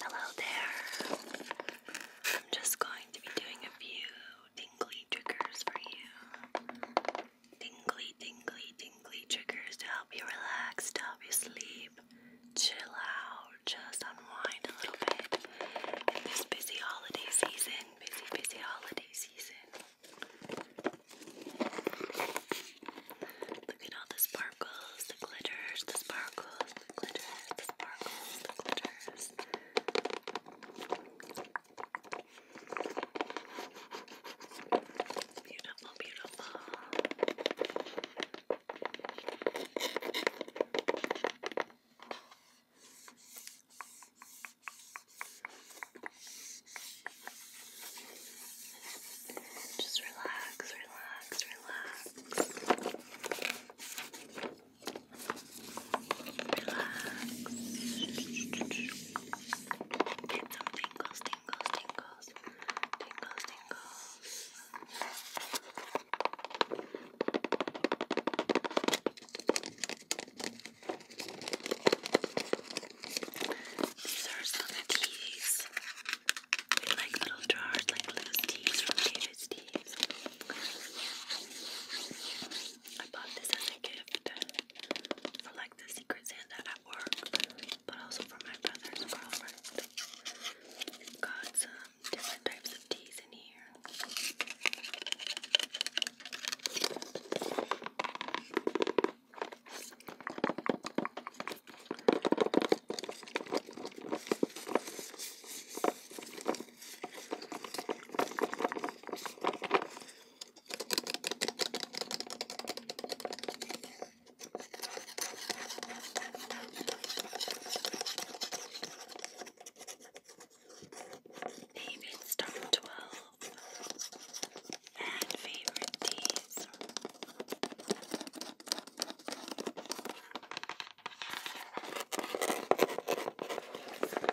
Hello there. I'm just going to be doing a few tingly triggers for you tingly, tingly, tingly triggers to help you relax, to help you sleep, chill out, just unwind a little bit in this busy holiday season, busy, busy holiday season. Look at all the sparkles, the glitters, the sparkles, the glitters, the sparkles, the glitters. It's beautiful, beautiful. Just relax, relax, relax. Relax. Get some tingles, tingles, tingles, tingles, tingles. These are some of like little jars, like loose teas from David's Teas. I bought this as a gift for like the Secret Santa at work, but also for my brother's girlfriend. Got some different types of teas in here. Favorite star 12 and favorite teas.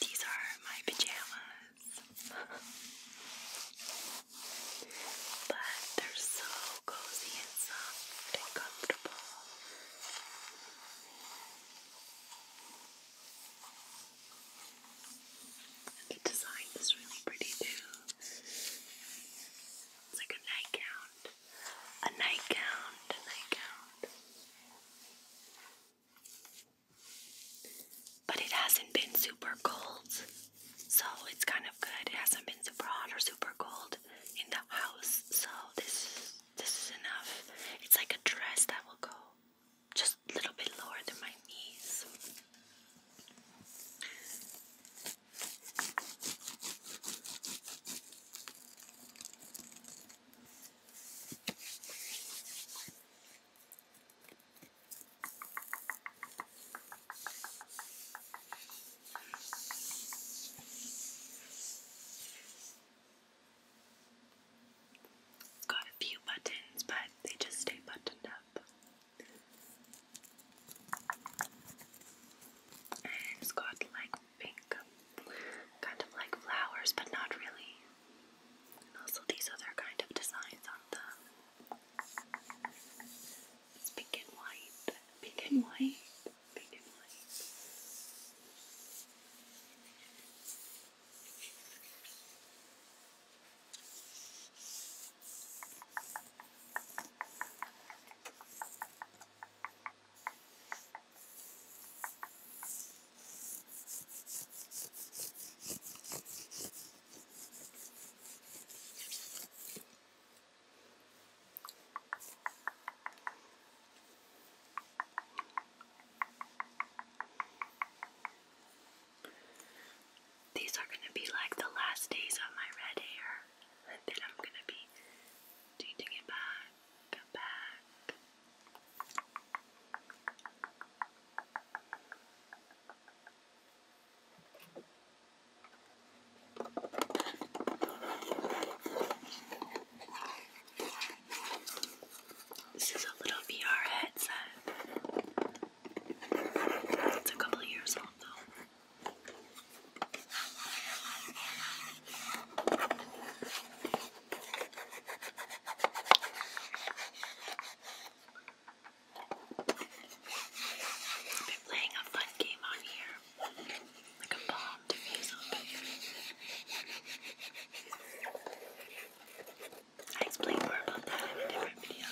These are my pajamas. but they're so cozy and soft and comfortable. the design is really pretty too. It's like a nightgown a nightgown, nightgown. But it hasn't been super cold, so it's kind of good. It hasn't been super hot or super cold in the house, so this this is enough. It's like a dress that will go just a little bit lower than my knees. Got a few buttons, but they just stay buttoned up. And it's got like pink, kind of like flowers, but not really. also these other kind of designs on them. pink and white, pink and white, pink and white. These are going to be like the last days of my red hair then I'm gonna be changing it back, back. This is a little VR headset. It's a couple years old though. I've been playing a fun game on here, like a bomb diffusal. I explain more about that in a different video.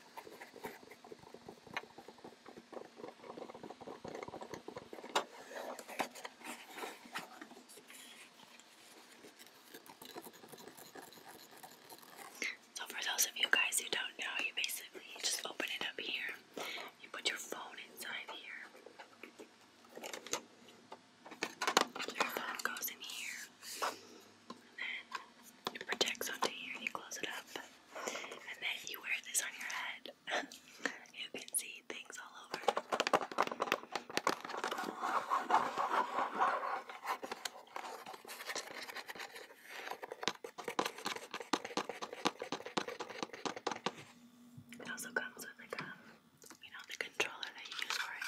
So for those of you guys who don't know, you basically just open it up here. You put your phone inside here. Your phone goes in here then it projects onto here and you close it up. And then you wear this on your head. you can see things all over. It also comes with like um, you know, the controller that you use for it.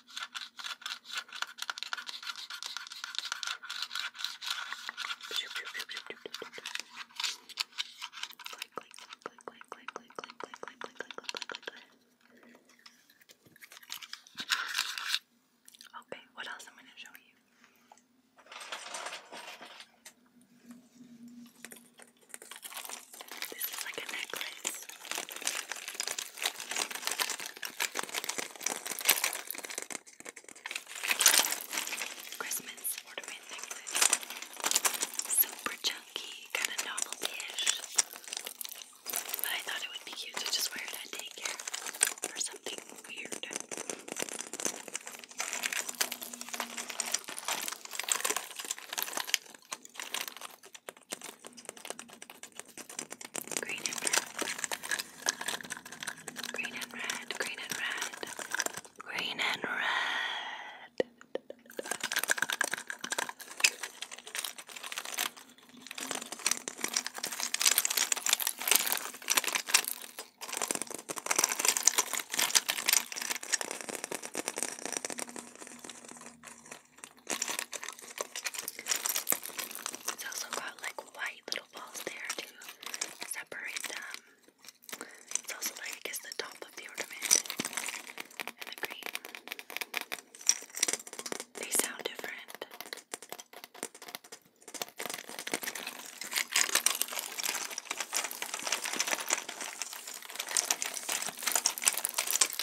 Okay, what else I'm going to show you? This is like a necklace. Christmas ornament necklace. Super chunky, kind of novelty-ish. But I thought it would be cute to just wear it at daycare for something weird. Green and red. Green and red. Green and red. Green and red. It's also got like white little balls there to separate them. It's also like I the top of the ornament and the green. They sound different.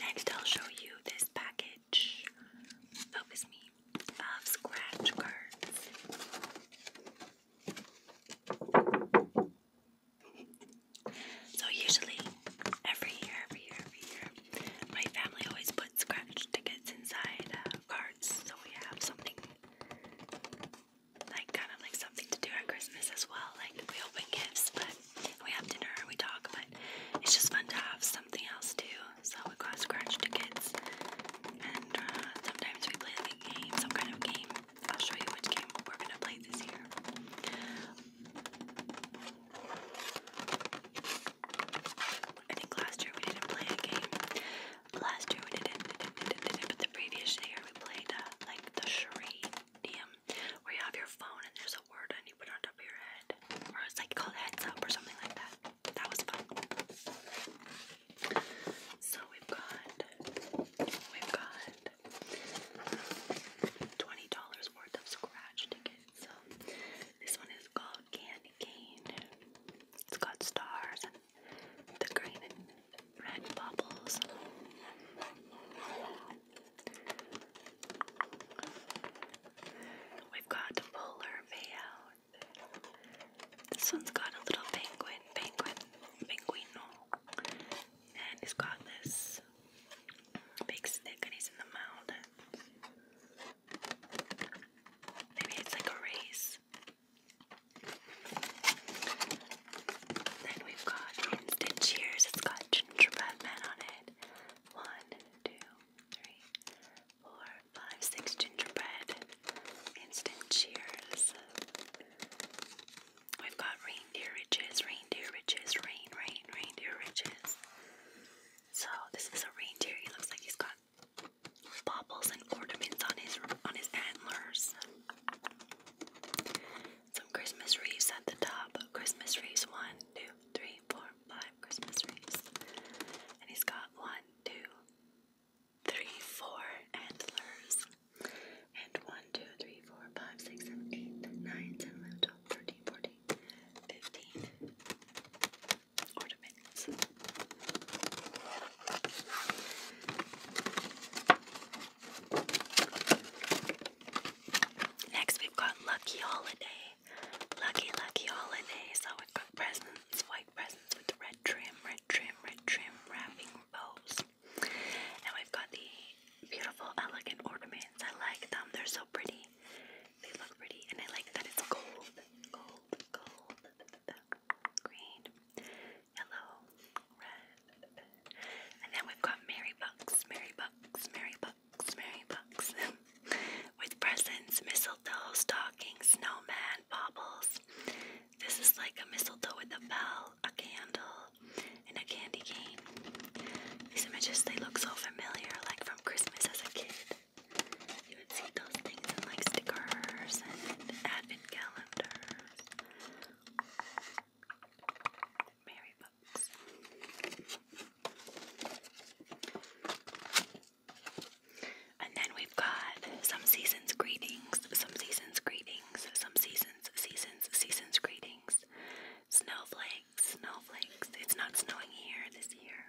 Next, I'll show you this package. Focus me of scratch cards. So usually, every year, every year, every year, my family always puts scratch tickets inside uh, cards, so we have something like kind of like something to do at Christmas as well. Like we open gifts, but we have dinner, and we talk, but it's just fun to have something else too so we got scratch tickets, and uh, sometimes we play the game, some kind of game. I'll show you which game we're gonna play this year. I think last year we didn't play a game. Last year we didn't, didn't, didn't, didn't but the previous year we played uh, like the charade game, where you have your phone and there's a word and you put it on top of your head, or it's like called heads up or something like that. That was fun. So we've got, we've got twenty dollars worth of scratch tickets. So this one is called Candy Cane. It's got stars the green and red bubbles. We've got the polar payout. This one's got a little penguin, penguin, penguino. And he's got this big stick and he's in the mound. Maybe it's like a race. Then we've got instant cheers. It's got gingerbread man on it. One, two, three, four, five, six gingerbread instant cheers. We've got reindeer riches, reindeer riches, rain, rain, reindeer riches. So this is a reindeer. He looks like he's got baubles and ornaments on his on his antlers. Some Christmas wreaths at the top. Christmas wreaths. One, two, three, four, five Christmas wreaths. And he's got one, two, three, four antlers. And one, two, three, four, five, six, seven, eight, nine, ten, eleven, twelve, thirteen, fourteen, fifteen ornaments. Next, we've got Lucky Holiday. Lucky, lucky holidays. Oh, we've got presents, white presents with red trim, red trim, red trim, wrapping bows. And we've got the beautiful, elegant ornaments. I like them. They're so pretty. They look pretty, and I like that it's gold, gold, gold, green, yellow, red. And then we've got Mary Bucks, Mary Bucks, Mary Bucks, Mary Bucks. with presents, mistletoe, stockings, snowman, baubles. This is like a mistletoe with a bell, a candle, and a candy cane. These images, they look so familiar, like from Christmas as a kid. You would see those things in like stickers and advent calendars. Mary books. And then we've got some seasons greetings, some seasons greetings, some seasons, seasons, seasons greetings. Snowflakes, snowflakes. It's not snowing here this year,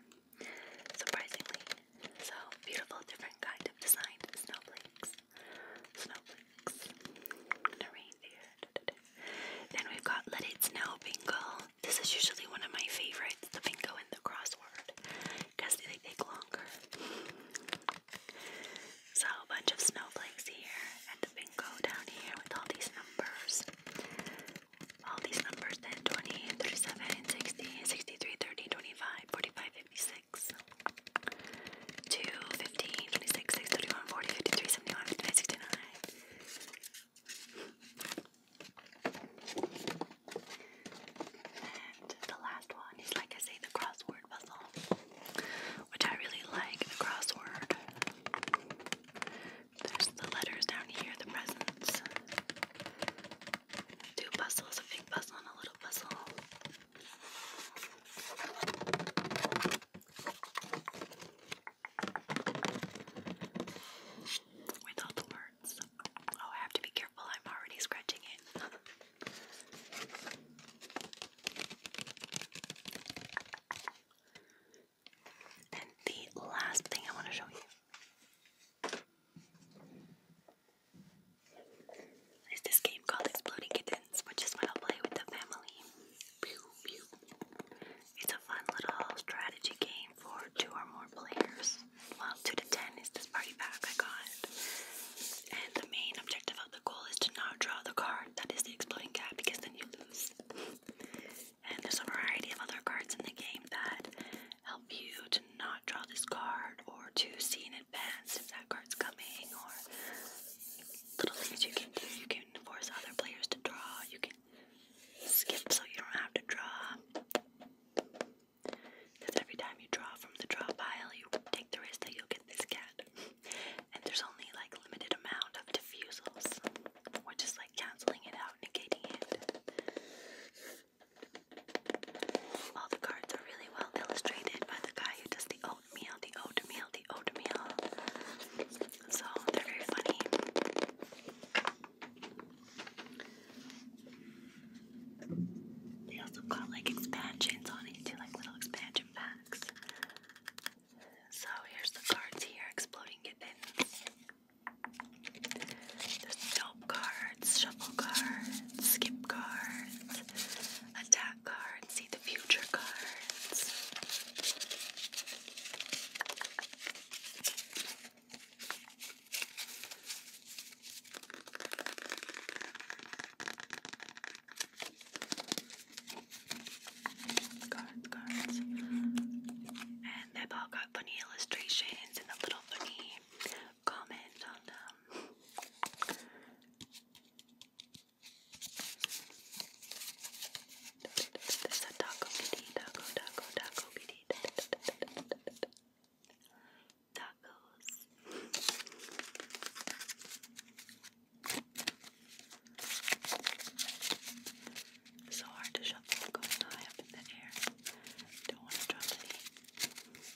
surprisingly. So beautiful, different kind of design. Snowflakes, snowflakes. The reindeer. Then we've got Let It Snow Bingo. This is usually one of my favorites, the bingo and the crossword, because they take longer. So a bunch of snowflakes here, and the bingo down here with all these numbers. All these numbers then 20, 37, 60, 63, 30, and the last one is, like I say, the crossword puzzle, which I really like. The crossword. There's the letters down here, the presents. Two puzzles, a big puzzle and a little puzzle. Without the word. Oh, I have to be careful, I'm already scratching it. and the last thing I want to show you is this game called Exploding Kittens, which is what i play with the family. Pew, pew. It's a fun little strategy game for two or more players. Well, two to ten is this party pack I got. And the main objective of the goal is to not draw the card that is the exploding cat because then you lose. and there's a variety of other cards in the game that help you to not draw this card or to see in advance if that card's coming or little things you can do. You can force other players to draw. You can skip so you don't have to draw. Because every time you draw from the draw pile, you take the risk that you'll get this cat. And there's only like limited amount of diffusals. We're just like canceling it out, negating it. All the cards are really well illustrated by the guy who does the oatmeal, the oatmeal, the oatmeal. So they're very funny. They also got like expansions on it too, like little expansion packs. So here's the cards here, Exploding Gibbons. There's dope cards, shuffle cards, skip cards, attack cards, see the future cards. Cards, cards. And they've all got funny illustrations and a little funny comment on them tacos. So hard to shuffle going high up in the air. Don't want to drop any. Four.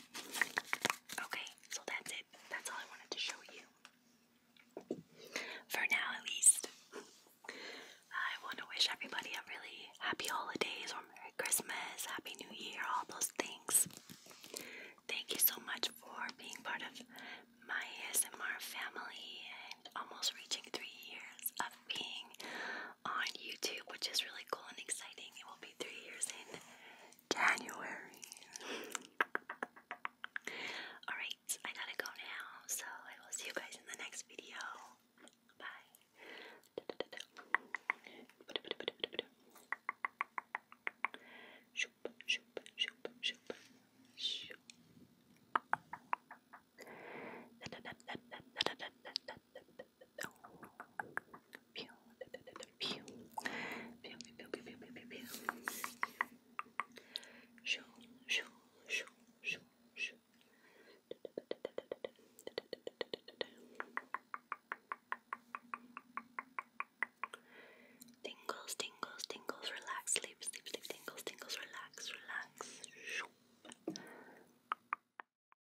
Okay, so that's it. That's all I wanted to show you. For now, at least. I want to wish everybody a really happy holidays or Merry Christmas, Happy New Year, all those things. Thank you so much for being part of my ASMR family and almost reaching three years of being on YouTube, which is really cool and exciting. It will be three years in January. Alright, I gotta go now, so I will see you guys in the next video. Bye. Tingles, tingles, tingles, relax, sleep, sleep, sleep, tingles, tingles, relax, relax.